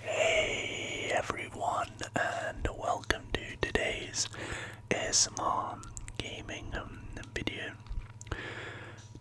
Hey everyone, and welcome to today's ASMR gaming video.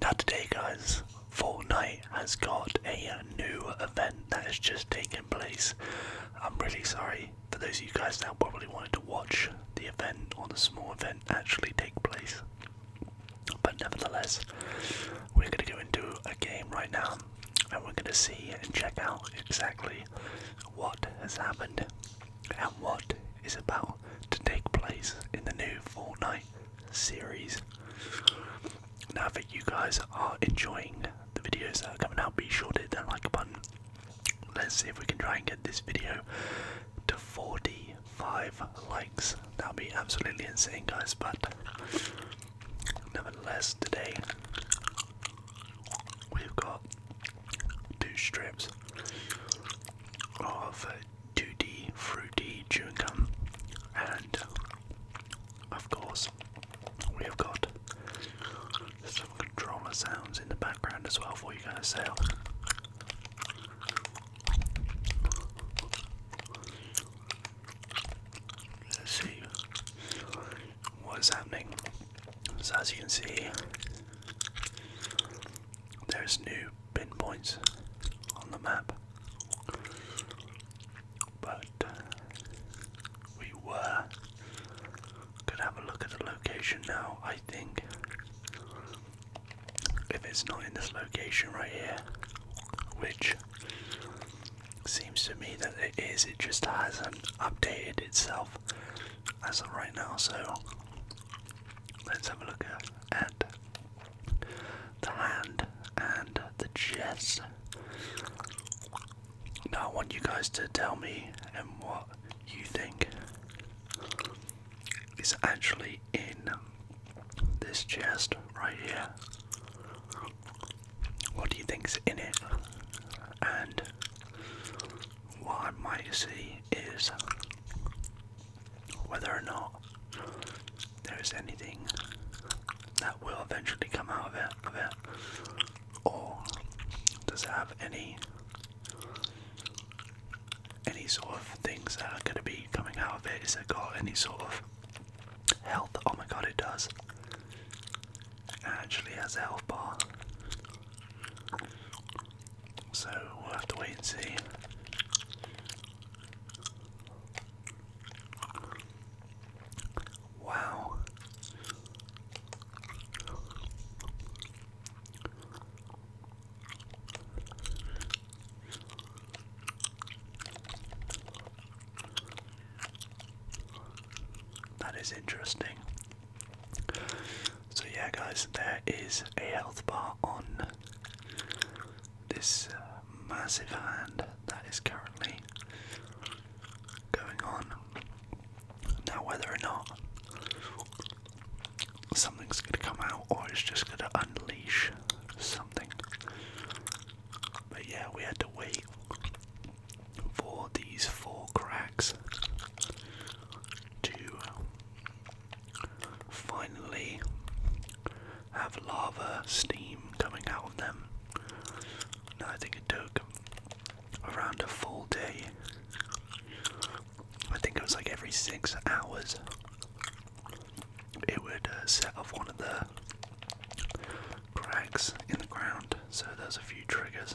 Now today guys, Fortnite has got a new event that has just taken place. I'm really sorry for those of you guys that probably wanted to watch the event or the small event actually take place. But nevertheless, we're going to go into a game right now and we're going to see and check out exactly what has happened and what is about to take place in the new Fortnite series. Now that you guys are enjoying the videos that are coming out, be sure to hit that like button. Let's see if we can try and get this video to 45 likes. That'll be absolutely insane, guys, but nevertheless, today we've got two strips of 2D fruity chewing gum and of course, we have got some controller sounds in the background as well for you guys. to So, let's see what is happening. So, as you can see, there's new pinpoints on the map but uh, we were. Could have a look at the location now, I think. If it's not in this location right here, which seems to me that it is, it just hasn't updated itself as of right now. So let's have a look at the hand and the chest. Now I want you guys to tell me and um, what you think is actually in this chest right here. What do you think's in it? And what I might see is whether or not there's anything that will eventually come out of it, or does it have any any sort of things that are going to be coming out of it? Does it got any sort of health? Oh my god, it does. It actually has a health bar. So we'll have to wait and see. Wow. That is interesting. So, yeah, guys, there is a health bar on this uh, massive hand that is currently going on. Now, whether or not something's going to come out or it's just going to unleash something. But yeah, we had to wait for these four cracks to uh, finally have lava steam coming out of them. I think it took around a full day. I think it was like every six hours it would uh, set off one of the cracks in the ground. So there's a few triggers.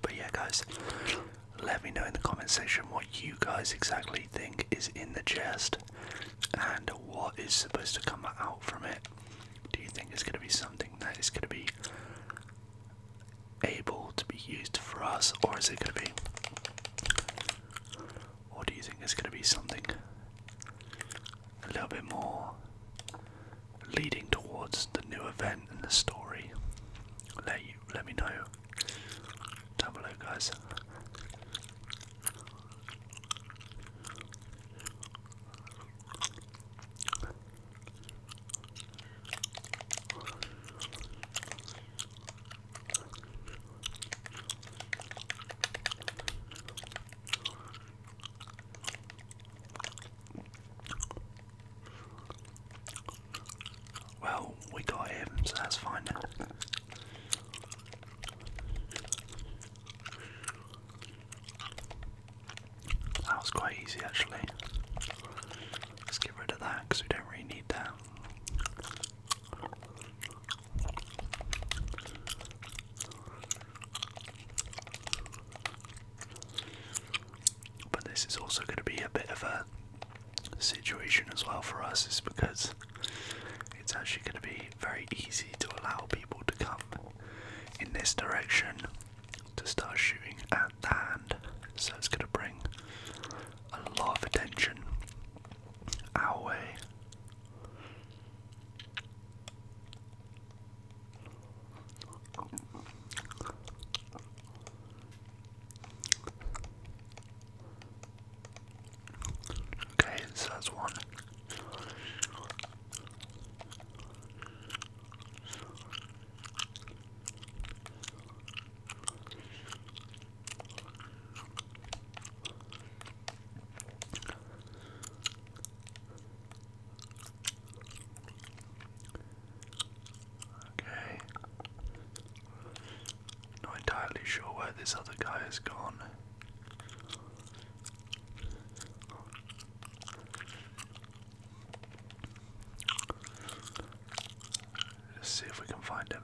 But yeah, guys, let me know in the comment section what you guys exactly think is in the chest and what is supposed to come out from it. Do you think it's going to be something that is going to be able to be used for us, or is it going to be? Or do you think it's going to be something a little bit more leading towards the new event and the story? Let you let me know. Down below, guys. Well, we got him, so that's fine now. That was quite easy actually. Let's get rid of that because we don't really need that. But this is also going to be a bit of a situation as well for us, is because it's actually going to be very easy to allow people to come in this direction to start shooting at the hand. So it's going to bring a lot of attention our way. Okay, so that's one. Okay. Not entirely sure where this other guy has gone. Let's see if we can find him.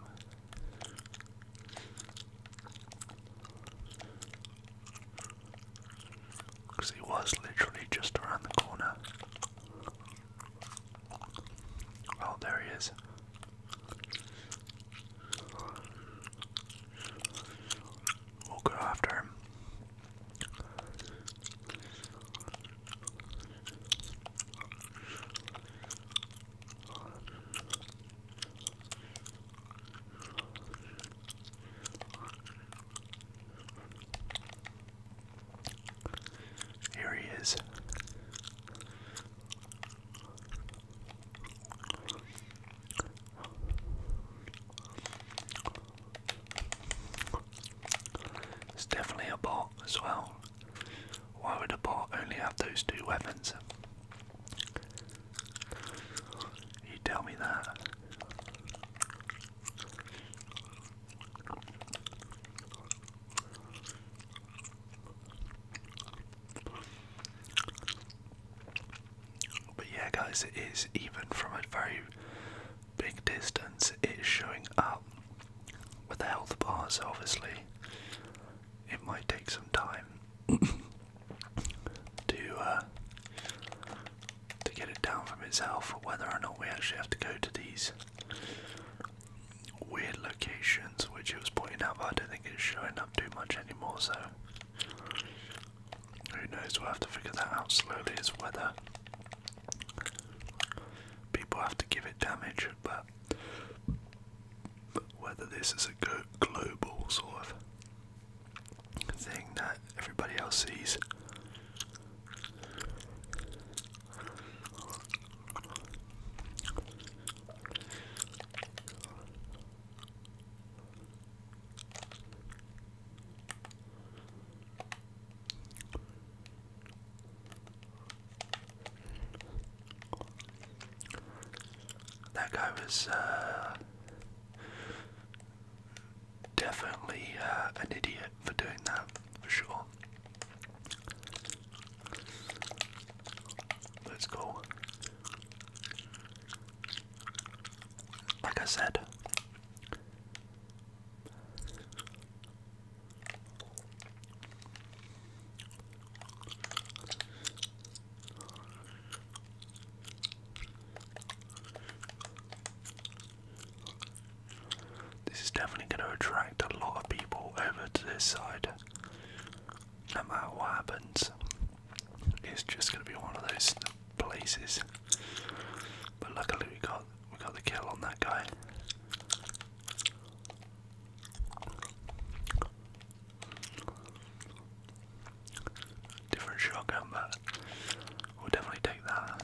Because he was literally just around the corner. Oh, there he is. We'll after here he is. It's definitely a bot as well. Why would a bot only have those two weapons? You tell me that. But yeah, guys, it is even from a very big distance, it is showing up with the health bars. Obviously, it might take some time to uh, to get it down from itself. Whether or not we actually have to go to these weird locations, which it was pointing out, but I don't think it's showing up too much anymore. So who knows? We'll have to figure that out slowly As whether people have to give it damage, but whether this is a global sort of thing that everybody else sees. That guy was uh, definitely uh, an idiot for doing that, for sure. Let's go. Like I said, this is definitely going to attract a lot of people over to this side. No matter what happens, it's just going to be one of those places. But luckily we got we got the kill on that guy. Different shotgun, but we'll definitely take that.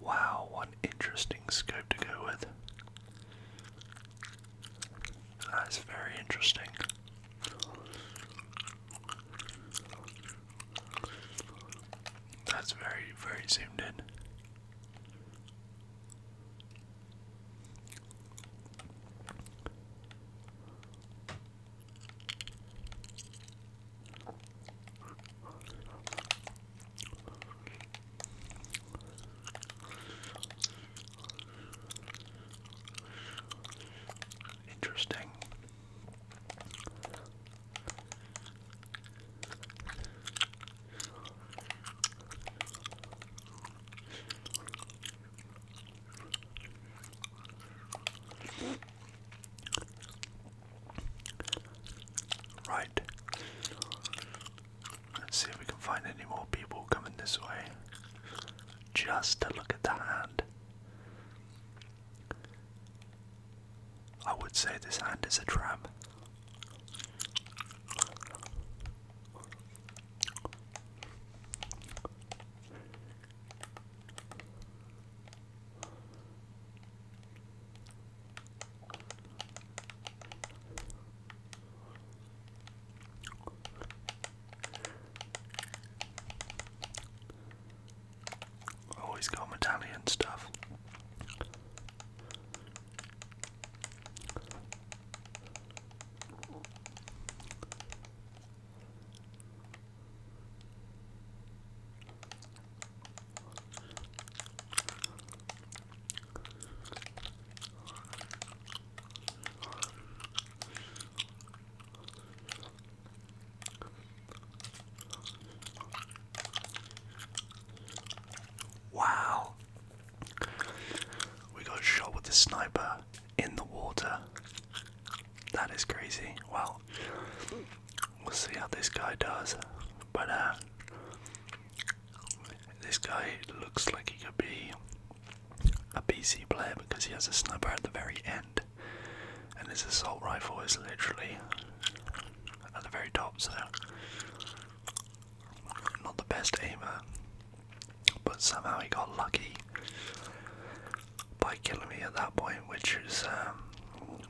Wow, one interesting scope to go with. That is very interesting. That's very, very zoomed in. Interesting. Right. Let's see if we can find any more people coming this way. Just to look at the hand. I would say this hand is a trap. Always oh, got medallion stuff. Wow. We got shot with the sniper in the water. That is crazy. Well, we'll see how this guy does. But uh this guy looks like he could be a PC player because he has a sniper at the very end, and his assault rifle is literally at the very top. So, not the best aimer, but somehow he got lucky by killing me at that point, which is um,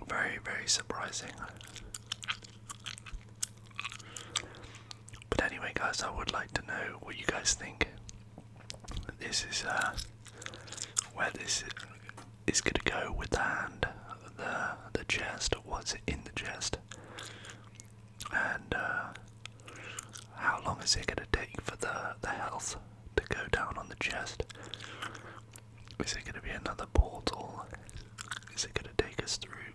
very, very surprising. But anyway, guys, I would like to know what you guys think. This is uh, where this is gonna go with the hand, the chest. What's in the chest? And uh, how long is it gonna take for the the health to go down on the chest? Is it gonna be another portal? Is it gonna take us through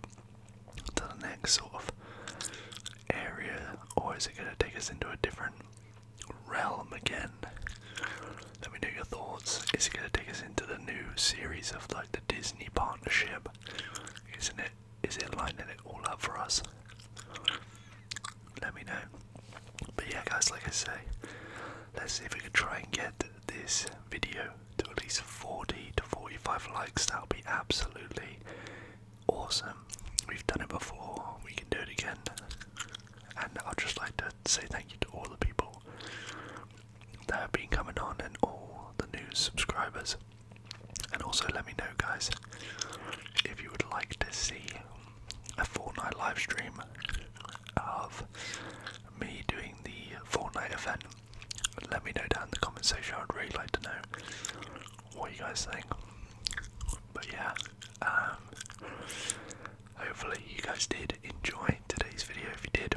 to the next sort of area, or is it going to take us into a different realm again? Let me know your thoughts. Is it going to take us into the new series of like the Disney partnership? Isn't it? Is it lining it all up for us? Let me know. But yeah, guys, like I say, let's see if we can try and get this video to at least 40 to 45 likes, that would be absolutely awesome. We've done it before, we can do it again. And I'd just like to say thank you to all the people that have been coming on and all the new subscribers. And also let me know, guys, if you would like to see a Fortnite live stream of me doing the Fortnite event let me know down in the comment section. I'd really like to know what you guys think. But yeah, um, hopefully you guys did enjoy today's video. If you did,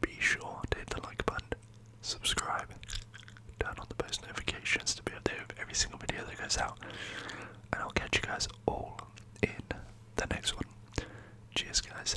be sure to hit the like button, subscribe, turn on the post notifications to be updated with every single video that goes out. And I'll catch you guys all in the next one. Cheers, guys.